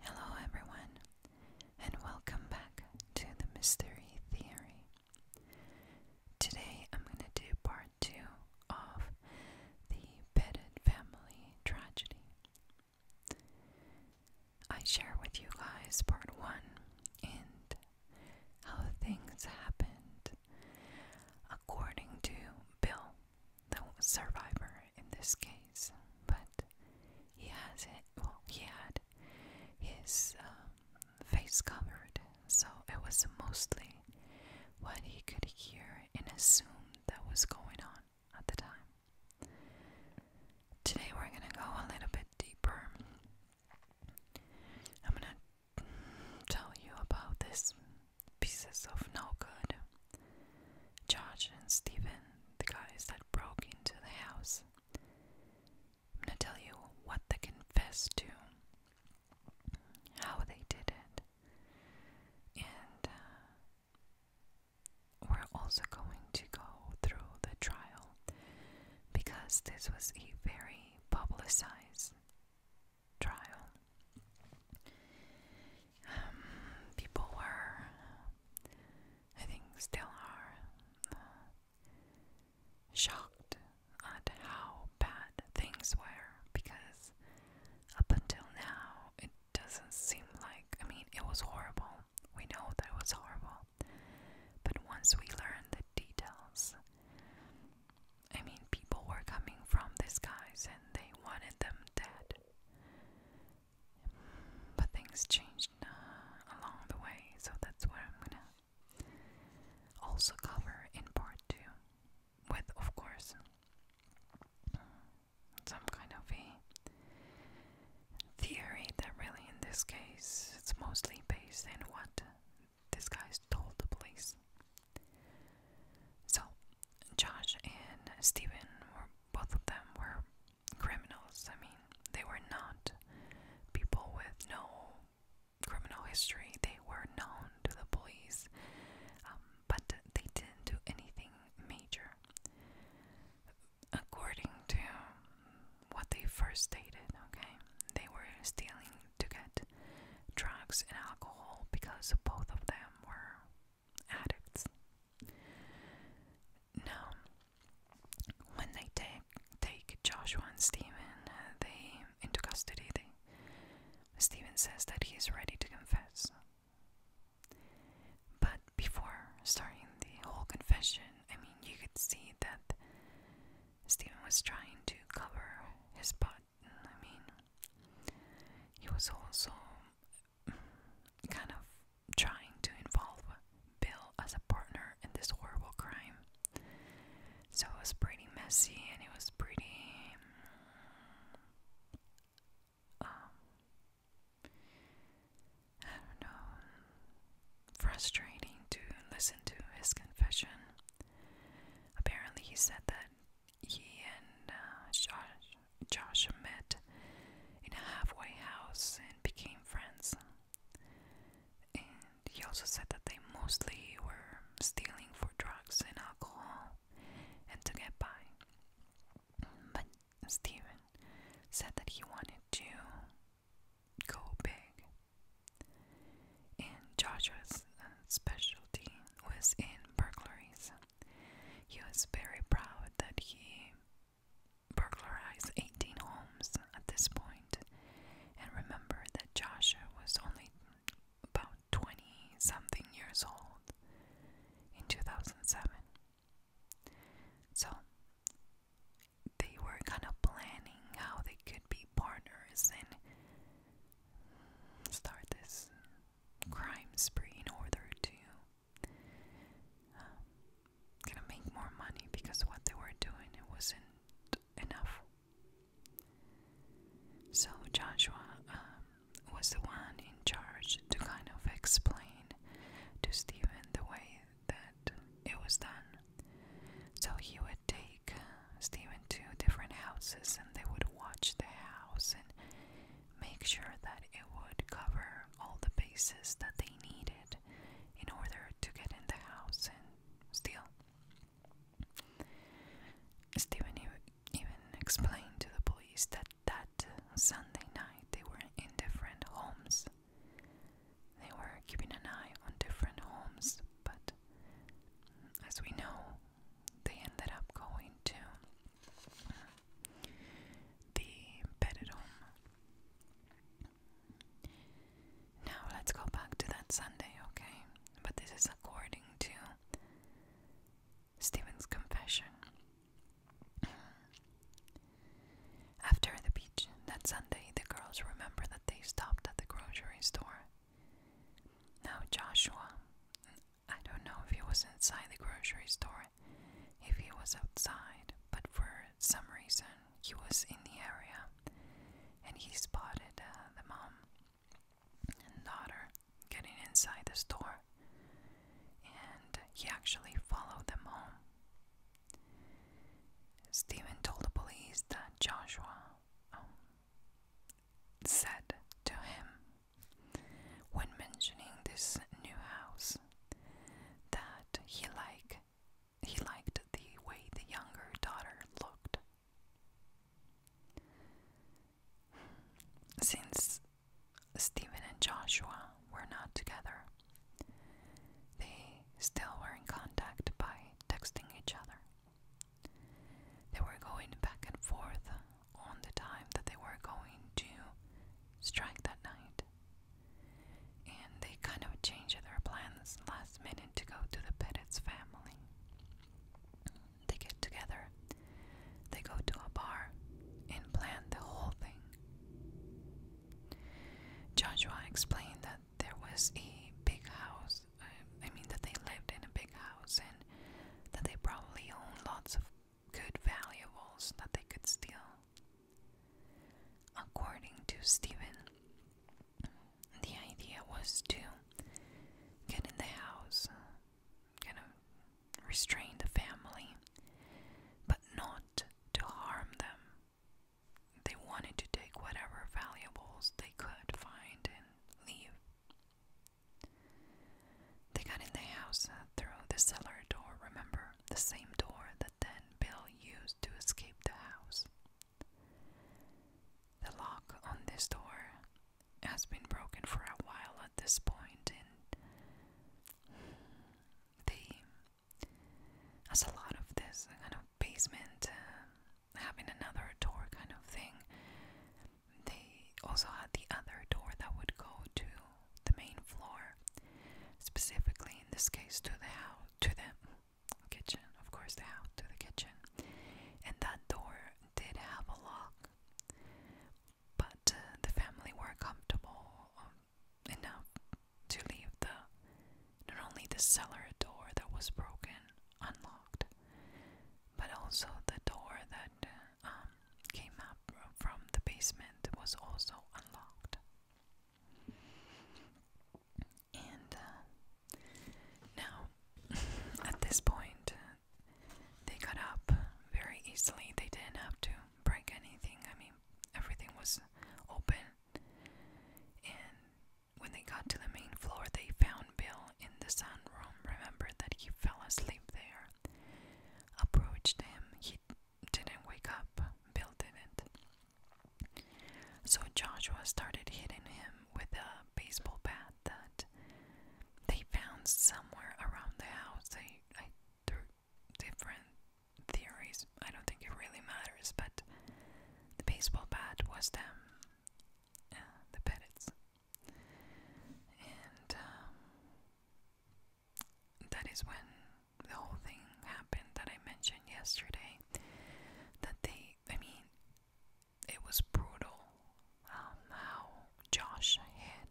Hello, everyone, and welcome back to the Mystery Theory. Today I'm going to do part two of the Pettit family tragedy. I share with you guys part one and how things happened according to Bill the survivor in this case, but he has it. Well, he had his um, face covered, so it was mostly what he could hear and assume that was going on at the time. Today we're gonna go a little bit deeper. I'm gonna tell you about this pieces of no good. George and Stephen, the guys that broke into the house. I'm gonna tell you what they confessed to, how they did it, and uh, we're also going to go through the trial because this was a very publicized trial. Um, people were, I think, still are, uh, shocked at how bad things were because up until now it doesn't seem like, I mean, it was horrible. We know that it was horrible. But once we learned the details, I mean, people were coming from the skies and they wanted them dead. But things changed uh, along the way, so that's what I'm gonna also cover in part two. With, of course, some kind of a theory that really, in this case, it's mostly based in what this guys told the police. So, Josh and Steven were both of them were criminals. I mean, they were not people with no criminal history. They were known to the police, um, but they didn't do anything major. According to what they first stated, okay, they were stealing to get drugs and alcohol because both of them were addicts. Now, when they take take Joshua and Steven, uh, they into custody. Steven says that he is ready to confess. But before starting the whole confession, I mean, you could see that Steven was trying to cover his butt. I mean, he was also kind of trying to involve Bill as a partner in this horrible crime. So it was pretty messy and it was pretty. Um, I don't know, frustrating to listen to his confession. Apparently, he said that he and uh, Josh, met in a halfway house and became friends. And he also said that they mostly were stealing for drugs and alcohol and to get by. But Steven said that he wanted to go big and Joshua's uh, specialty was in burglaries. He was very proud that he burglarized 18 homes at this point, and remember that Joshua was only about 20 something years old in 2007. So they were kind of planning how they could be partners in start this crime spree in order to gonna um, make more money because what they were doing it wasn't enough. So Joshua um, was the one in charge to kind of explain to Stephen the way that it was done. So he would take take Stephen to different houses and they would watch the house and make sure that it would cover all the bases that they needed in order to get in the house and steal. Stephen even explained to the police that that Sunday night they were in different homes. They were keeping an eye on different homes, but as we know, they ended up going to the bedded home. Now let's go back to that Sunday, okay? But this is according to Stephen's confession. After the beach that Sunday, the girls remember that they stopped at the grocery store now, Joshua, I don't know if he was inside the grocery store, if he was outside, but for some reason he was in the area and he spotted uh, the mom and daughter getting inside the store and he actually followed them home. Stephen told the police that Joshua um, said to him when mentioning this new house that he like he liked the way the younger daughter looked. Since Stephen and Joshua were not together, they still were in contact by texting each other. They were going back and forth on the time that they were going to strike that night. And they kind of changed their plans last minute to go to the Pettit's family. They get together, they go to a bar, and plan the whole thing. Joshua explained that there was a big house I, I mean, that they lived in a big house and that they probably owned lots of good valuables that they could steal. According to Stephen, the idea was to get in the house, kind of restrain the family, but not to harm them. They wanted to take whatever valuables they could find and leave. They got in the house uh, through the cellar door, remember? The same door that then Bill used to escape the house. The lock on this door has been broken for a while at this point, and they, as a lot of this uh, kind of basement, uh, having another door kind of thing. They also had the other door that would go to the main floor, specifically in this case to the house, to the kitchen, of course, the house to the kitchen. And that door did have a lock, but uh, the family were comfortable um, enough to leave the not only the cellar door that was broken unlocked, but also the door that um, came up from the basement was also unlocked. And uh, now, at this point, they got up very easily. They didn't have to break anything. I mean, everything was open. When they got to the main floor, they found Bill in the sunroom. Remembered that he fell asleep there. Approached him. He didn't wake up. Bill didn't. So Joshua started hitting him with a baseball bat that they found somewhere around the house. They, I different theories. I don't think it really matters, but the baseball bat was them. Uh, the parrots. And um, that is when the whole thing happened that I mentioned yesterday. That they, I mean, it was brutal um, how Josh hid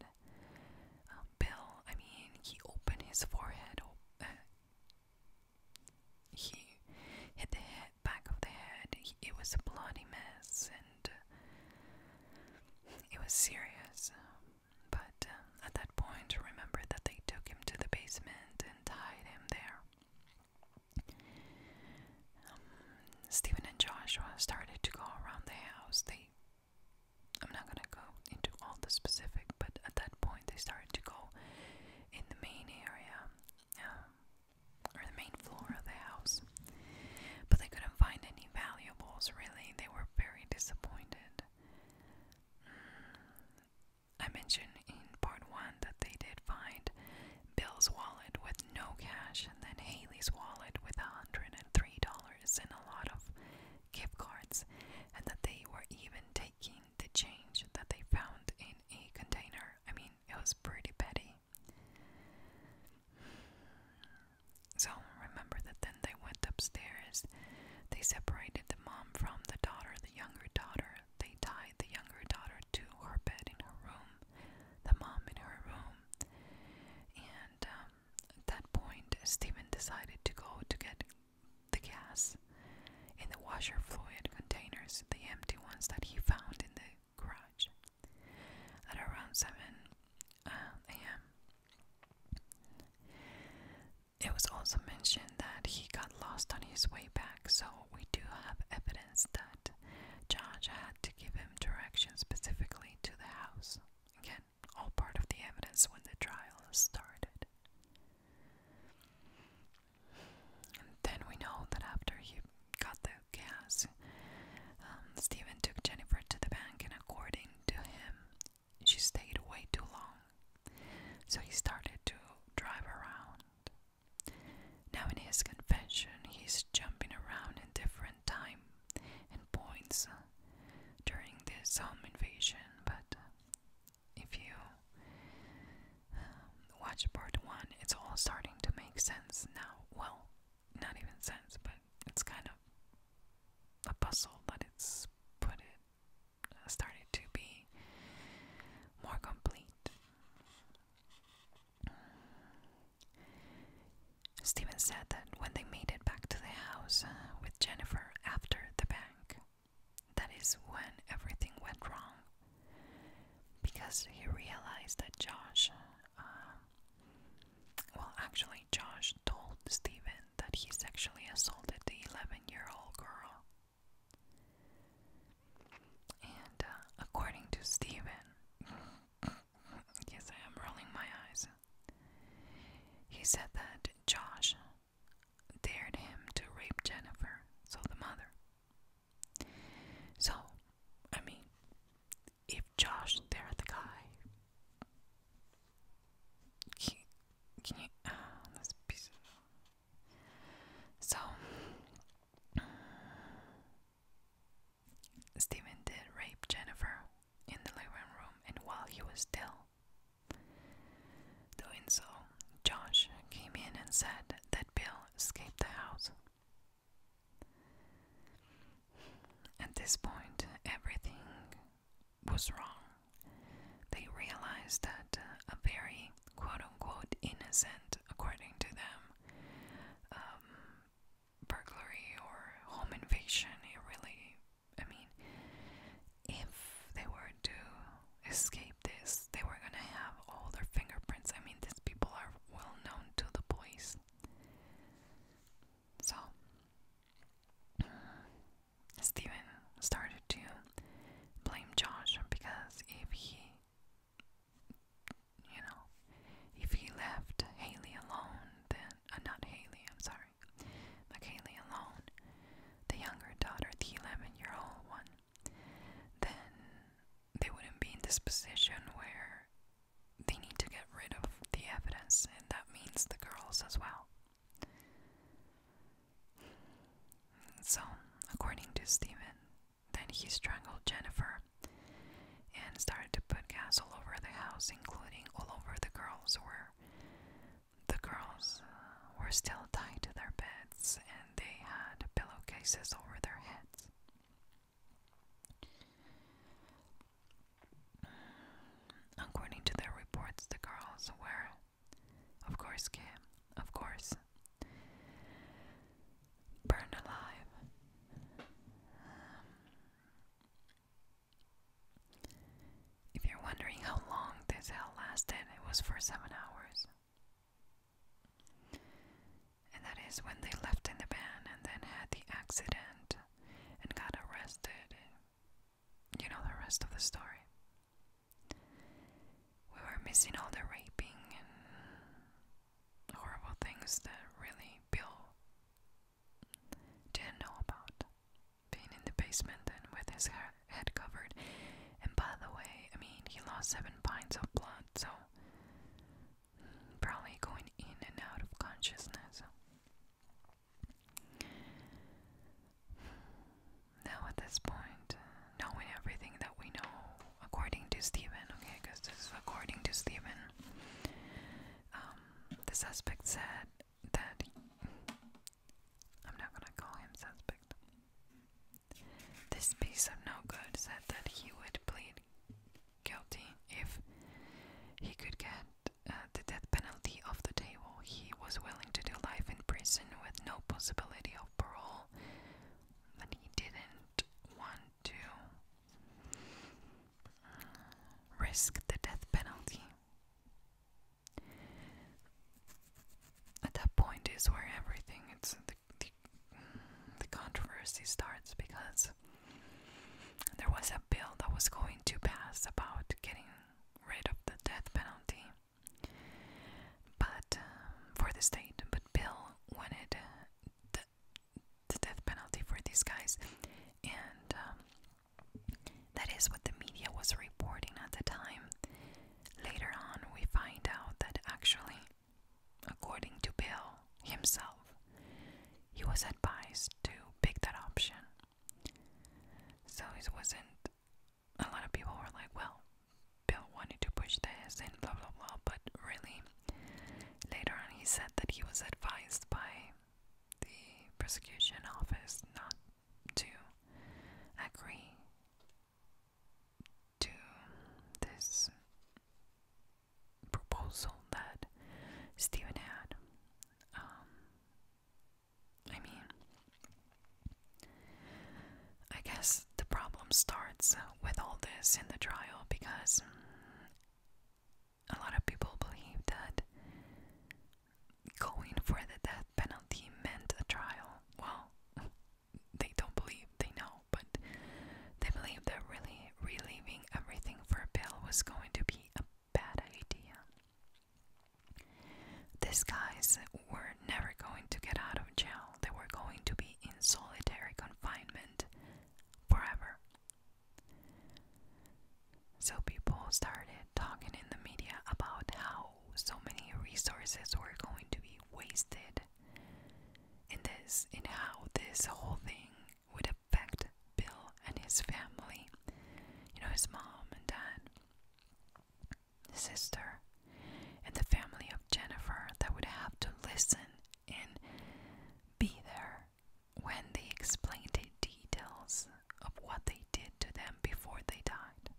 um, Bill. I mean, he opened his forehead. Uh, he hit the head, back of the head. it was a bloody mess, and uh, it was serious. But uh, at that point, remember that they took him to the basement and tied him there. Um, Stephen and Joshua started to go around the house. They, I'm not gonna go into all the specific, but at that point, they started to go in the main area. Um, or the main floor of the house. But they couldn't find any valuables, really. They were very disappointed. Mm. I mentioned in part one that they did find Bill's wallet with no cash and then Haley's wallet with $103 and a lot of gift cards, and that they were even taking the change that they found in a container. I mean, it was pretty petty. So remember that then they went upstairs. They separated the mom from the daughter, the younger daughter. They tied the younger daughter to her bed in her room, the mom in her room. And um, at that point, Stephen decided to go to get the gas in the washer fluid containers, the empty ones that he found in the garage. At around 7 uh, a.m., it was also mentioned that he got lost on his way back, so we do have evidence that Josh had to give him directions specifically to the house. Again, all part of the evidence when the trial started. And then we know that after he got the gas, um, Stephen took Jennifer to the bank, and according to him, she stayed way too long. So he started to drive around. Now, in his confession, he's jumping around in different time and points uh, during this home invasion. But if you watch part one, it's all starting to make sense now. Well, not even sense, but it's kind of a puzzle that it's put it uh, started to be more complete. Stephen said that when they made it back to the house uh, with Jennifer after the bank, that is when everything went wrong because he realized that Josh, um, well, actually, Josh told Stephen that he sexually assaulted the 11 year old girl. And uh, according to Stephen, yes, I am rolling my eyes, he said that Josh dared him to rape Jennifer, so the mother. So, I mean, if Josh, there the guy, can, you, uh, so, Stephen did rape Jennifer in the living room, and while he was still doing so, Josh came in and said that Bill escaped the house. At this point, everything was wrong. They realized that uh, a very quote unquote innocent, according to them, um, burglary or home invasion, it really, I mean, if they were to escape this. They were gonna have all their fingerprints. I mean, these people are well known to the police. So, Stephen started to blame Josh because if he, you know, if he left Haley alone, then, uh, not Haley, I'm sorry, but Haley alone, the younger daughter, the 11 year old one, then they wouldn't be in this position where they need to get rid of the evidence, and that means the girls as well. So, according to Stephen, then he strangled Jennifer and started to put gas all over the house, including all over the girls, where the girls uh, were still tied to their beds and they had pillowcases over their heads. According to their reports, the girls were, of course, of course, burned alive. if you're wondering how long this hell lasted, it was for seven hours. And that is when they left in the van and then had the accident and got arrested. You know the rest of the story. We were missing all the raping and horrible things that really Bill didn't know about. Being in the basement and with his hair head covered. And by the way, I mean, he lost seven pints of blood, so probably going in and out of consciousness. Now, at this point, knowing everything that we know, according to Stephen, okay, because this is according to Stephen, um, the suspect said that. I'm not gonna call him suspect. This piece of no good said that he would plead guilty if he could get uh, the death penalty off the table. He was willing to do life in prison with no possibility of parole, but he didn't want to risk the death penalty at that point is where everything it's the the, controversy starts because there was a bill that was going to pass about getting rid of the death penalty but um, for the state but bill wanted the, the death penalty for these guys and um, that is what the media was reporting at the time Later on, we find out that actually, according to Bill himself, he was advised to pick that option. So it wasn't, a lot of people were like, well, Bill wanted to push this and blah blah blah, but really, later on, he said that he was advised by the prosecution office not to agree to this proposal that Stephen had. Um, I mean, I guess the problem starts with all this in the trial because a lot of people believe that going for the death penalty meant a trial they don't believe they know, but they believe that really relieving everything for a pill was going to be a bad idea. These guys were never going to get out of jail, they were going to be in solitary confinement forever. So people started talking in the media about how so many resources were going to be wasted in this in how this whole thing would affect Bill and his family. You know, his mom and dad, his sister, and the family of Jennifer that would have to listen and be there when they explained the details of what they did to them before they died.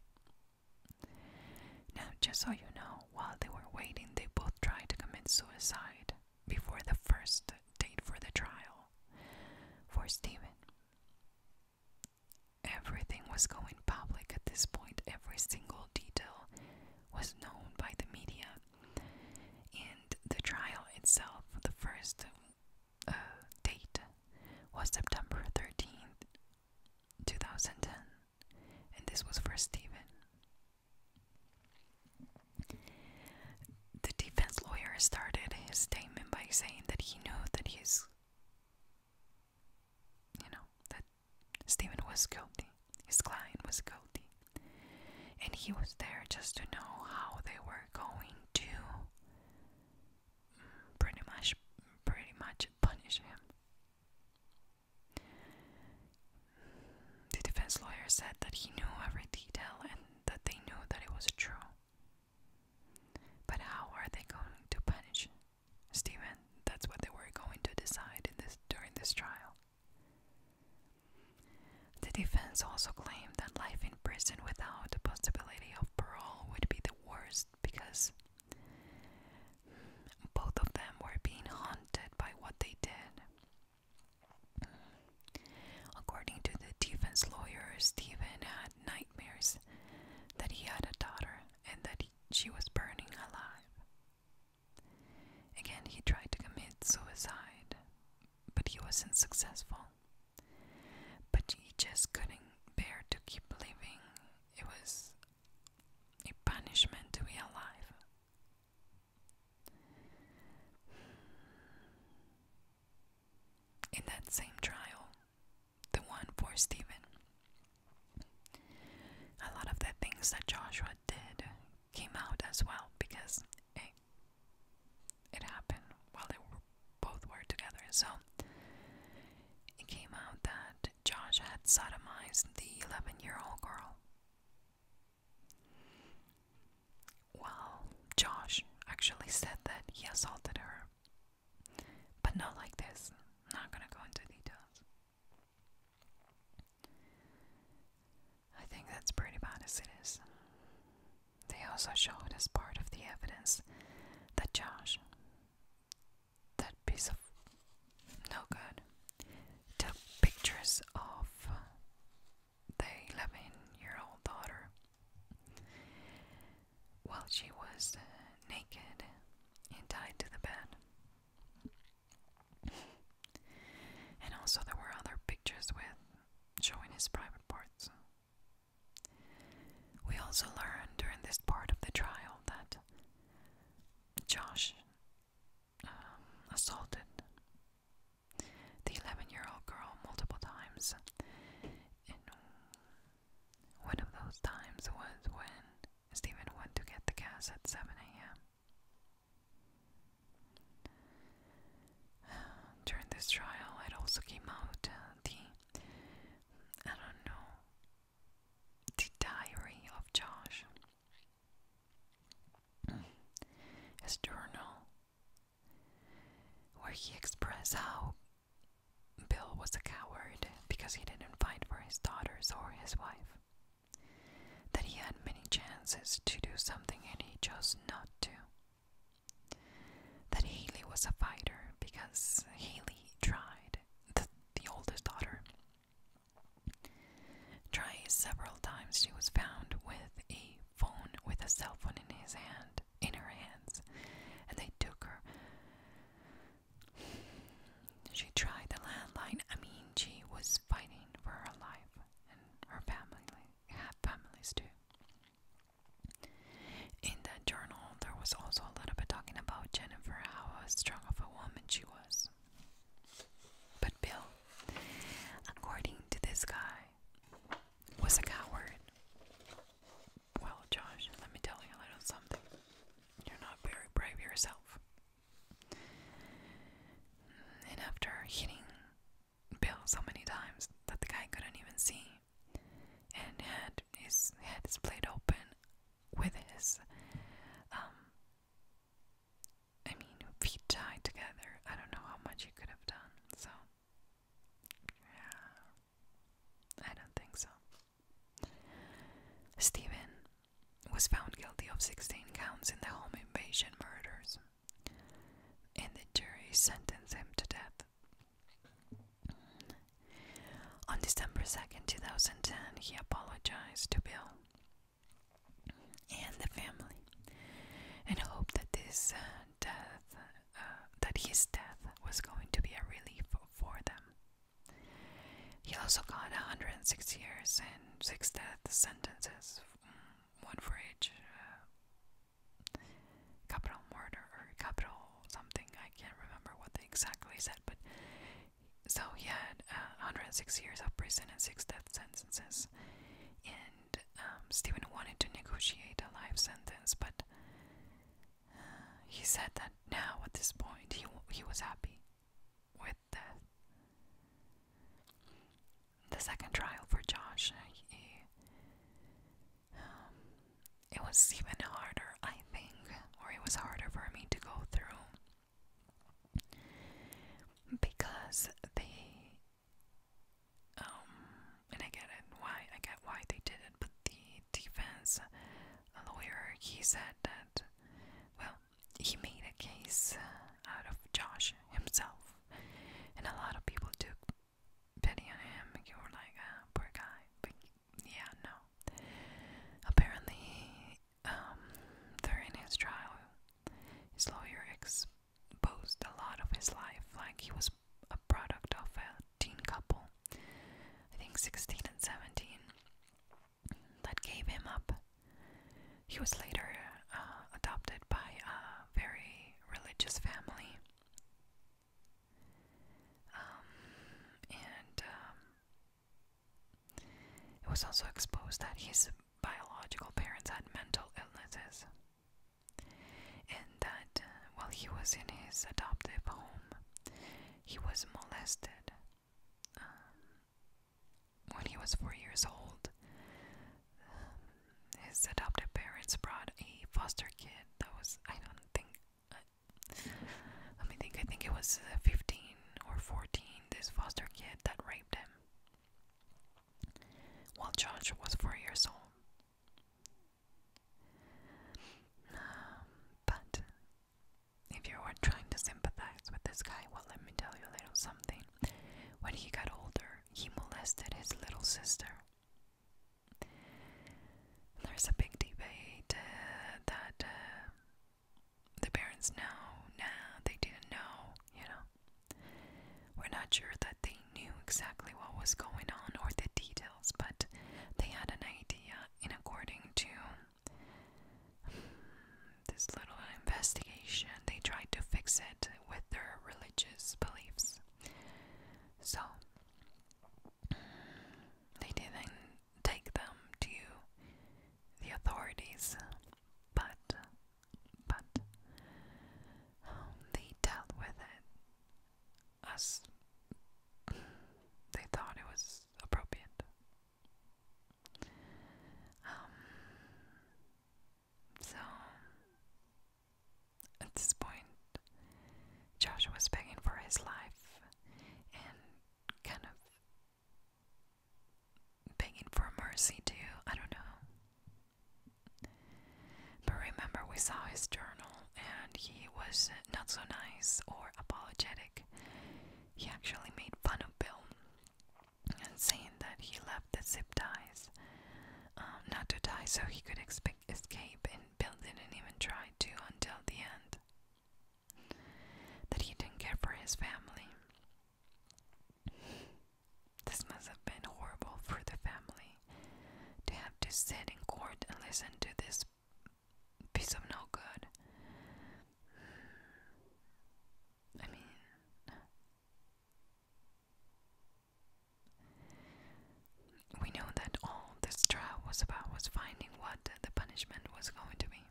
Now, just so you know, while they were waiting, they both tried to commit suicide before the first date for the trial. For Stephen, everything was going public at this point, every single detail was known by the media. And the trial itself, the first uh, date, was September 13th, 2010, and this was for Stephen. The defense lawyer started his statement by saying that he knew that his, you know, that Stephen was guilty, his client was guilty, and he was there just to know how they were going to mm, pretty much, pretty much punish him. The defense lawyer said that he knew every detail and that they knew that it was true. But how are they going to punish Stephen? That's what they were going to decide during this trial. The defense also claimed that life in prison without the possibility of parole would be the worst because both of them were being haunted by what they did. According to the defense lawyer, Stephen had nightmares that he had a daughter and that she was burning alive. Again, he tried to commit suicide, but he wasn't successful. But he just couldn't bear to keep living. It was a punishment to be alive. In that same trial, the one for Stephen, a lot of the things that Joshua did came out as well because it, it happened while they both were together. So it came out that Josh had sodomized the 11 year old girl. Well, Josh actually said that he assaulted her. But not like this. Not gonna go into details. I think that's pretty bad as it is. They also showed as part of the evidence that Josh that piece of no good took pictures of the 11 year old daughter while she was naked and tied to the bed. and also, there were other pictures with showing his private parts. We also learned during this part of the trial that Josh um, assaulted the 11 year old girl multiple times. one of those times was when Stephen went to get the gas at 7 a.m. During this trial, it also came out uh, the I don't know the Diary of Josh. Hmm. His journal, where he expressed how Bill was a coward because he didn't fight for his daughters or his wife, that he had many chances to do something and he chose not to. That Haley was a fighter because Haley tried the, oldest daughter. Tries several times, she was found with a phone, with a cell phone in his hand, in her hands, and they took her. She tried the landline. I mean, she was fighting for her life and her family, had families too. In that journal, there was also a little bit talking about Jennifer, how strong of a woman she was. But Bill, according to this guy, was a coward. Well, Josh, let me tell you a little something. You're not very brave yourself. And after hitting Bill so many times that the guy couldn't even see, and had his head split open with his, um, I mean, feet tied together. I don't know how much he could have done, so. Yeah, I don't think so. Stephen was found guilty of 16 counts in the home invasion murders, and the jury sentenced him to death on December 2nd, 2010, he apologized to Bill and the family and hoped that this uh, death uh, that his death was going to be a relief for them. He also got 106 years and six death sentences, one for each uh, capital murder or capital something. I can't remember what they exactly said, but so he had 106 uh, years of prison and six death sentences. And um, Stephen wanted to negotiate a life sentence, but uh, he said that now at this point he he was happy with death. The second trial for Josh, um, it was even harder, I think, or it was harder for me to go through because the um, and I get it why I get why they did it, but the defense uh, lawyer he said that, well, he made a case uh, out of Josh himself, and a lot of people took pity on him. You were like, ah, poor guy, yeah, no. Apparently, um, during his trial, his lawyer exposed a lot of his life. Like, he was a product of a teen couple, I think 16 and 17, that gave him up. He was later uh, adopted by a very religious family um, and um, it was also exposed that his biological parents had mental illnesses, and that uh, while he was in his adoptive home, he was molested. Um, when he was four years old, his adoptive parents brought a foster kid that was, I don't think, let me think, I think it was uh, 15 or 14, this foster kid that raped him while Josh was four years old. Um, but if you were trying to sympathize with this guy, well, let me tell you a little something. When he got older, he molested his little sister. There's a big debate uh, that uh, the parents know, now. they didn't know, you know. We're not sure that they knew exactly what was going on or the details, but they had an idea, and according to hmm, this little investigation, they tried to fix it with their religious beliefs. So, hmm, they didn't take them to the authorities, but but um, they dealt with it as they thought it was appropriate. Um, so at this point, Josh was begging for his life and kind of begging for mercy too. I don't know. But remember, we saw his journal and he was not so nice or apologetic. He actually made fun of Bill and saying that he left the zip ties um, not to die so he could expect escape, and Bill didn't even try to until the end. That he didn't care for his family. This must have been horrible for the family to have to sit in court and listen to this piece of no good. I mean, we know that all this trial was about was finding what the punishment was going to be.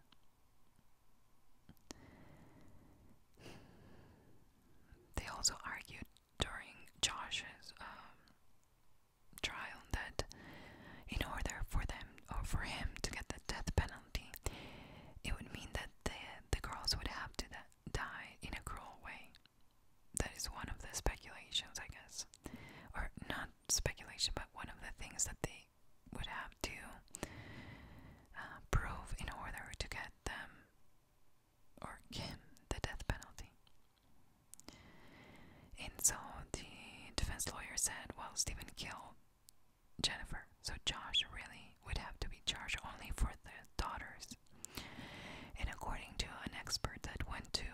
They also argued during Josh's um, trial that in order for them or for him to get the death penalty, it would mean that the, the girls would have to die in a cruel way that is one of the speculations, I guess, or not speculation, but one of the things that they would have to uh, prove in order to get them or him the death penalty. And so the defense lawyer said, "Well, Stephen killed Jennifer, so Josh really would have to be charged only for the daughters." And according to an expert that went to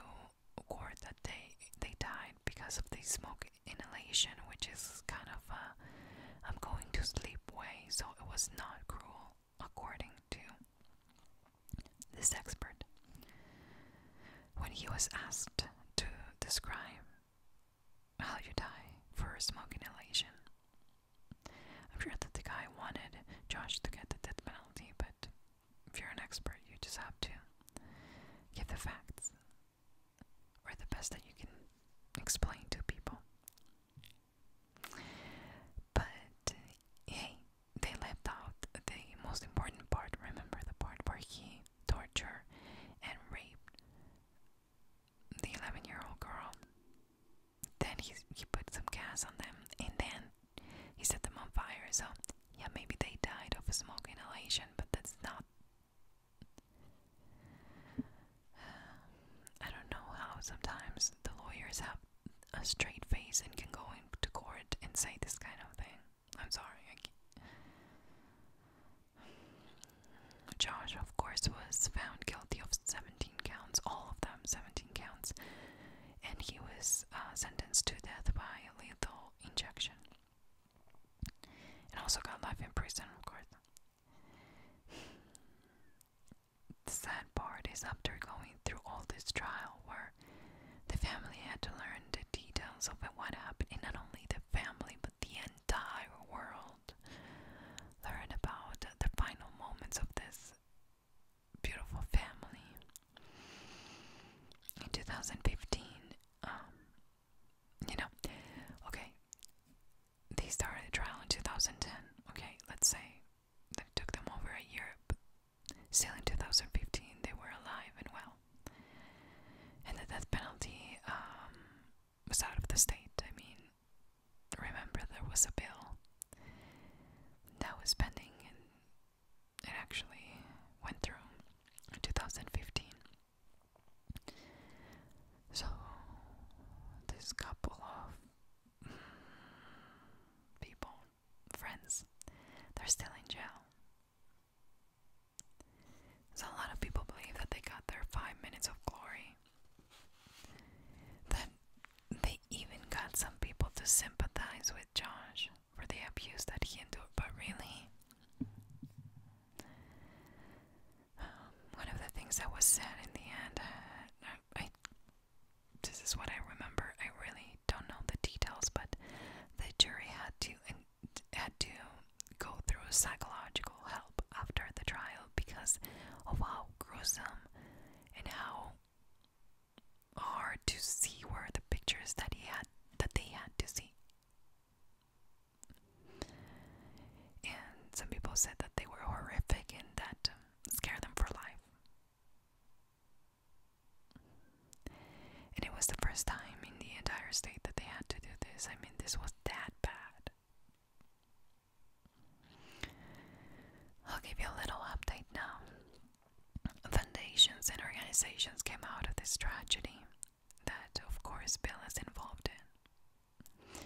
or that they they died because of the smoke inhalation, which is kind of a uh, I'm going to sleep way, so it was not cruel according to this expert. When he was asked to describe how you die for smoke inhalation, I'm sure that the guy wanted Josh to get the death penalty, but if you're an expert, you just have to give the facts or the best that you can explain to people. But hey, they left out the most important part. Remember the part where he tortured and raped the 11 year old girl? Then he, he put some gas on them, and then he set them on fire. So, yeah, maybe they died of smoke inhalation, but that's not. I don't know how sometimes the lawyers have a straight face and can go into court and say this kind of thing. I'm sorry. I can't. Josh, of course, was found guilty of 17 counts, all of them, 17 counts, and he was uh, sentenced to death by lethal injection. And also got life in prison, of course. The sad part is after going through all this trial where the family had to learn the details of what happened, and not only the family but the entire world learned about the final moments of this beautiful family. In 2015, um, you know, okay, they started the trial in 2010. Okay, let's say that took them over a year, but still in 2015 they were alive and well. And the death penalty um, was out of the state. I mean, remember there was a bill that was pending and it actually went through in 2015. So, this couple of people, friends, they're still in jail. So, a lot of people believe that they got their five minutes of glory. That they even got some people to sympathize with Josh for the abuse that he endured, but really, um, one of the things that was said in the end, uh, I, this is what I remember. I really don't know the details, but the jury had to had to go through psychological help after the trial because of how gruesome and how hard to see were the pictures that he had that they had to see. And some people said that they were horrific and that um, scared them for life. And it was the first time in the entire state that they had to do this. I mean, this was that bad. I'll give you a little update now foundations and organizations came out of this tragedy that, of course, Bill is involved in.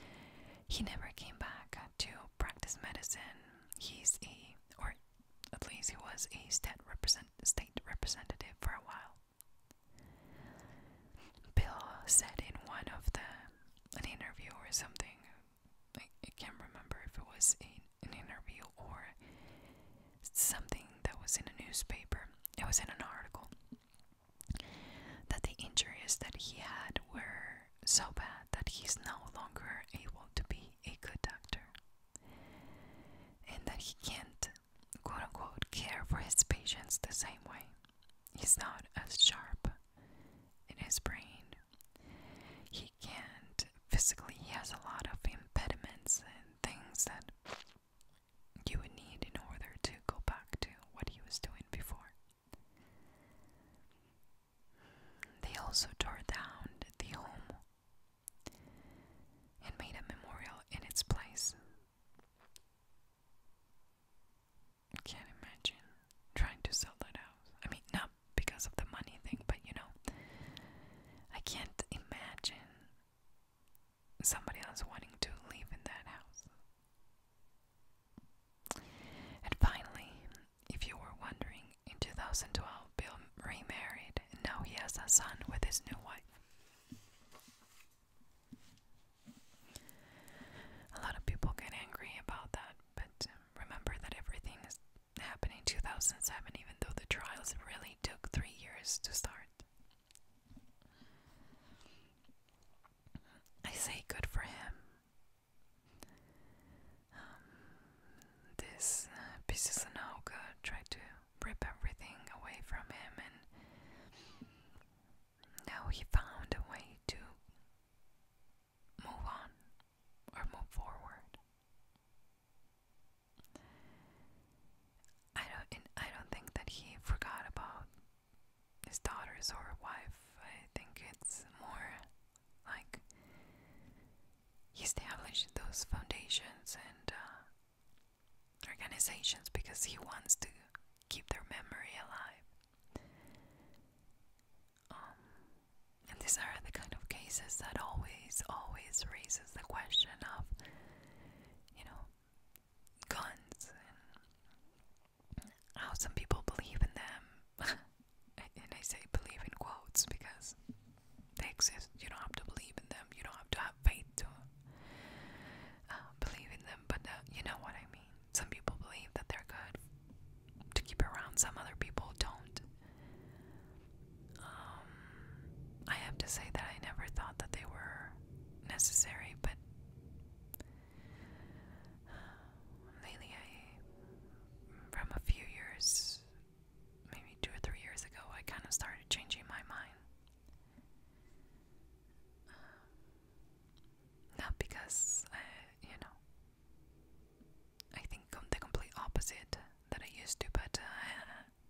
He never came back to practice medicine. He's a, or at least he was a state, represent, state representative for a while. Bill said in one of the an interview or something I, can't remember if it was a, an interview or something that was in a newspaper. It was in an article that the injuries that he had were so bad that he's no longer able to be a good doctor and that he can't, quote unquote, care for his patients the same way. He's not as sharp in his brain. He and physically he has a lot of impediments and things that you would need in order to go back to what he was doing before. They also tore down the home and made a memorial in its place. can't imagine trying to sell that house. I mean, now because of the money thing, but you know, I can't imagine somebody else wanting to live in that house. And finally, if you were wondering, in 2012, Bill remarried, and now he has a son with his new wife. A lot of people get angry about that, but um, remember that everything is Happening in 2007, even though the trials really took three years to start. I say good for him. Um, this uh, tried to rip everything away from him, and now he found a way to move on or move forward. I don't. I don't think that he forgot about his daughters or wife. I think it's more like he established those foundations and uh, organizations because he wants to keep their memory alive. Um, and these are the kind of cases that always, always raises the question of, you know, guns and how some people believe in them. and I say believe in quotes because they exist. You don't have to believe in them. You don't have to have faith to uh, believe in them. But uh, you know what I mean. Some people believe that they're good to keep around. Some other people don't. Um, I have to say that I never thought that they were necessary, but lately I, from a few years, maybe two or three years ago, I kind of started changing my mind. Um, not because you know, I think the complete opposite that I used to, but uh,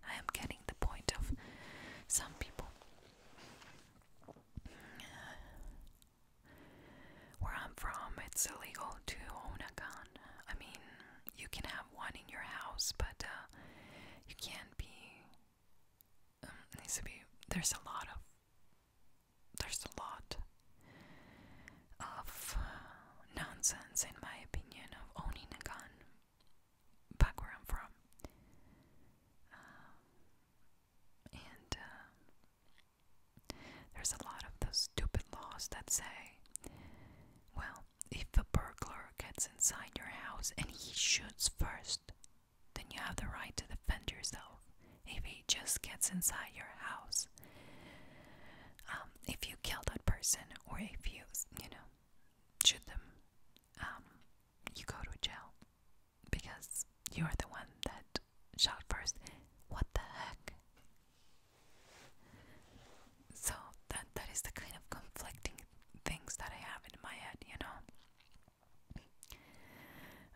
I am getting the point of some people. Where I'm from, it's illegal to own a gun. I mean, you can have one in your house, but uh, you can't be. Um, needs to be. There's a lot of there's a lot of uh, nonsense, in my opinion, of owning a gun back where I'm from. Uh, and uh, there's a lot of those stupid laws that say, well, if a burglar gets inside your house and he shoots first, then you have the right to defend yourself. If he actually just gets inside your house. Um, if you kill that person or if you, you know, shoot them, um, you go to jail because you're the one that shot first. What the heck? So that that is the kind of conflicting things that I have in my head, you know.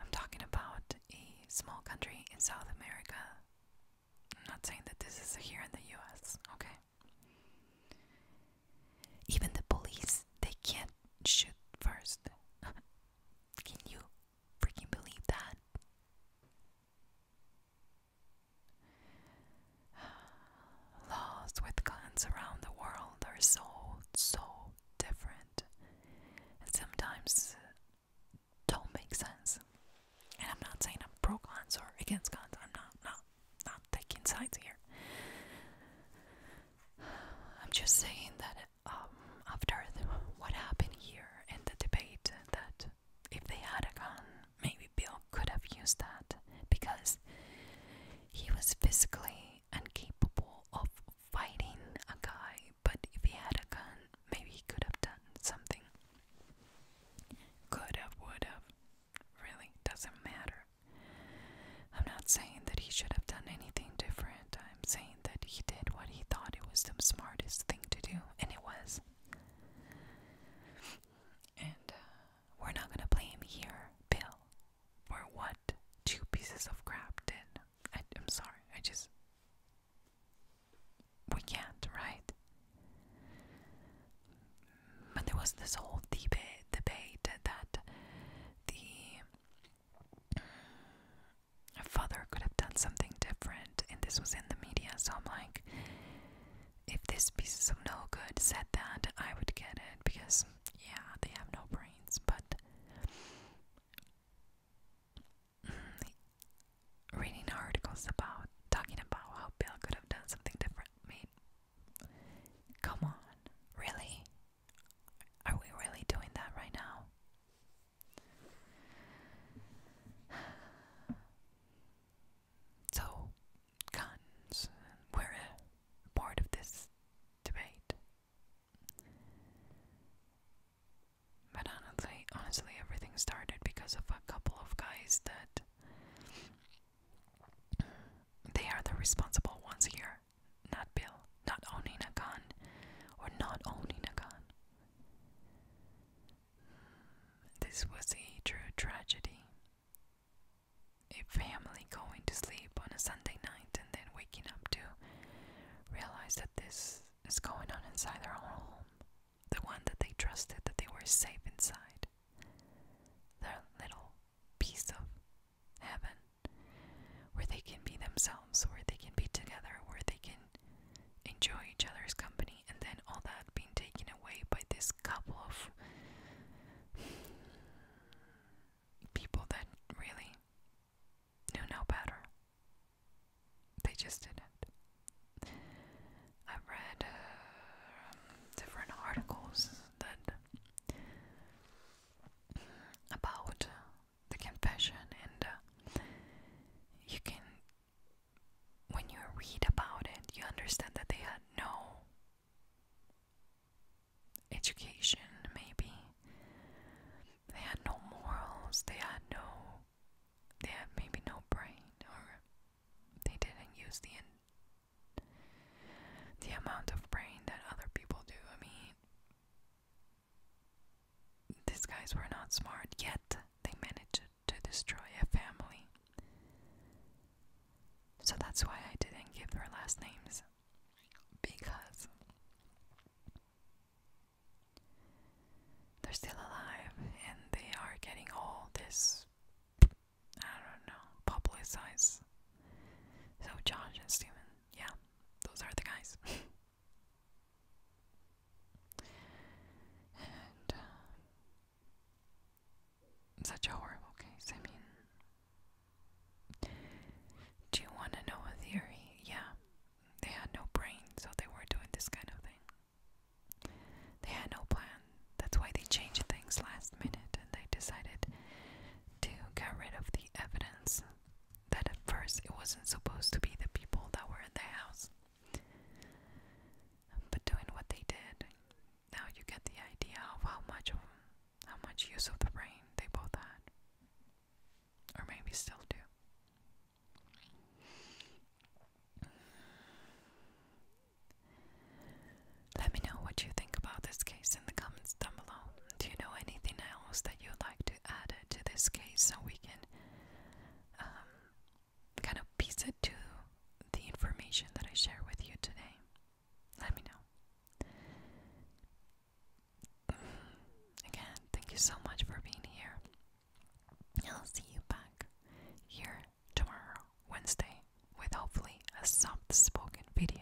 I'm talking about a small country in South America I'm not saying that this is here in the US, okay? Even the police, they can't shoot first. Can you freaking believe that? Laws with guns around the world are so, so different. sometimes don't make sense. And I'm not saying I'm pro cons or against cons. I'm not not not taking sides here. I'm just saying that um, after what happened here in the debate, that if they had a gun, maybe Bill could have used that because he was physically incapable of fighting a guy. But if he had a gun, maybe he could have done something. Could have, would have. Really, doesn't matter. I'm not saying that he should have done anything different. I'm saying that he did what he thought it was the smartest thing to do, and it was. And uh, we're not gonna blame here, Bill, for what two pieces of crap did. I'm sorry, I just we can't, right? But there was this whole debate debate that the father could have done something different, and this was in the media. So I'm like, if this piece of no good said that, I would get it because, yeah, they have no brains, but reading articles about talking about how Bill could have done something different. I mean, come on, really? Are we really doing that right now? So, guns, we a part of this debate. But honestly, honestly, everything started because of a couple of guys that they are the responsible ones here. Not Bill, not owning a gun, or not owning a gun. This was a true tragedy. A family going to sleep on a Sunday night and then waking up to realize that this is going on inside their own home, the one that they trusted that they were safe inside, their little piece of heaven, where they can be themselves, where they can be together, where they can enjoy each other's company, and then all that being taken away by this couple of people that really knew no better. They just didn't. I've read uh, different articles that about the confession, and uh, you can, when you read about it, you understand that they had no education, maybe. They had no morals, they had no they had maybe no brain or they didn't use the the amount of brain that other people do. I mean these guys were not smart yet they managed to destroy a family. So that's why I didn't give her last names because they're still alive and they are getting all this, I don't know, publicized. So, Josh and Steven, yeah, those are the guys. and uh, such a horrible case. I mean, do you want to know a theory? Yeah, they had no brain, so they were doing this kind of thing. They had no plan. That's why they changed things last minute and they decided to get rid of the evidence that at first it wasn't supposed to be the people that were in the house. But doing what they did, now you get the idea of how much how much use of the brain they both had, or maybe still do. Let me know what you think about this case in the comments down below. Do you know anything else that you'd like to add to this case so we can um, kind of piece it to the information that I share with you today? Let me know. Again, thank you so much for being here. I'll see you back here tomorrow, Wednesday, with hopefully a soft spoken video.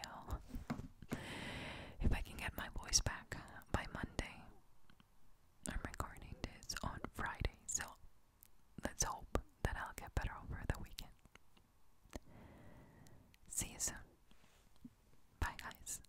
if I can get my voice back by Monday. I'm recording this on Friday, so let's hope that I'll get better over the weekend. See you soon. Bye, guys.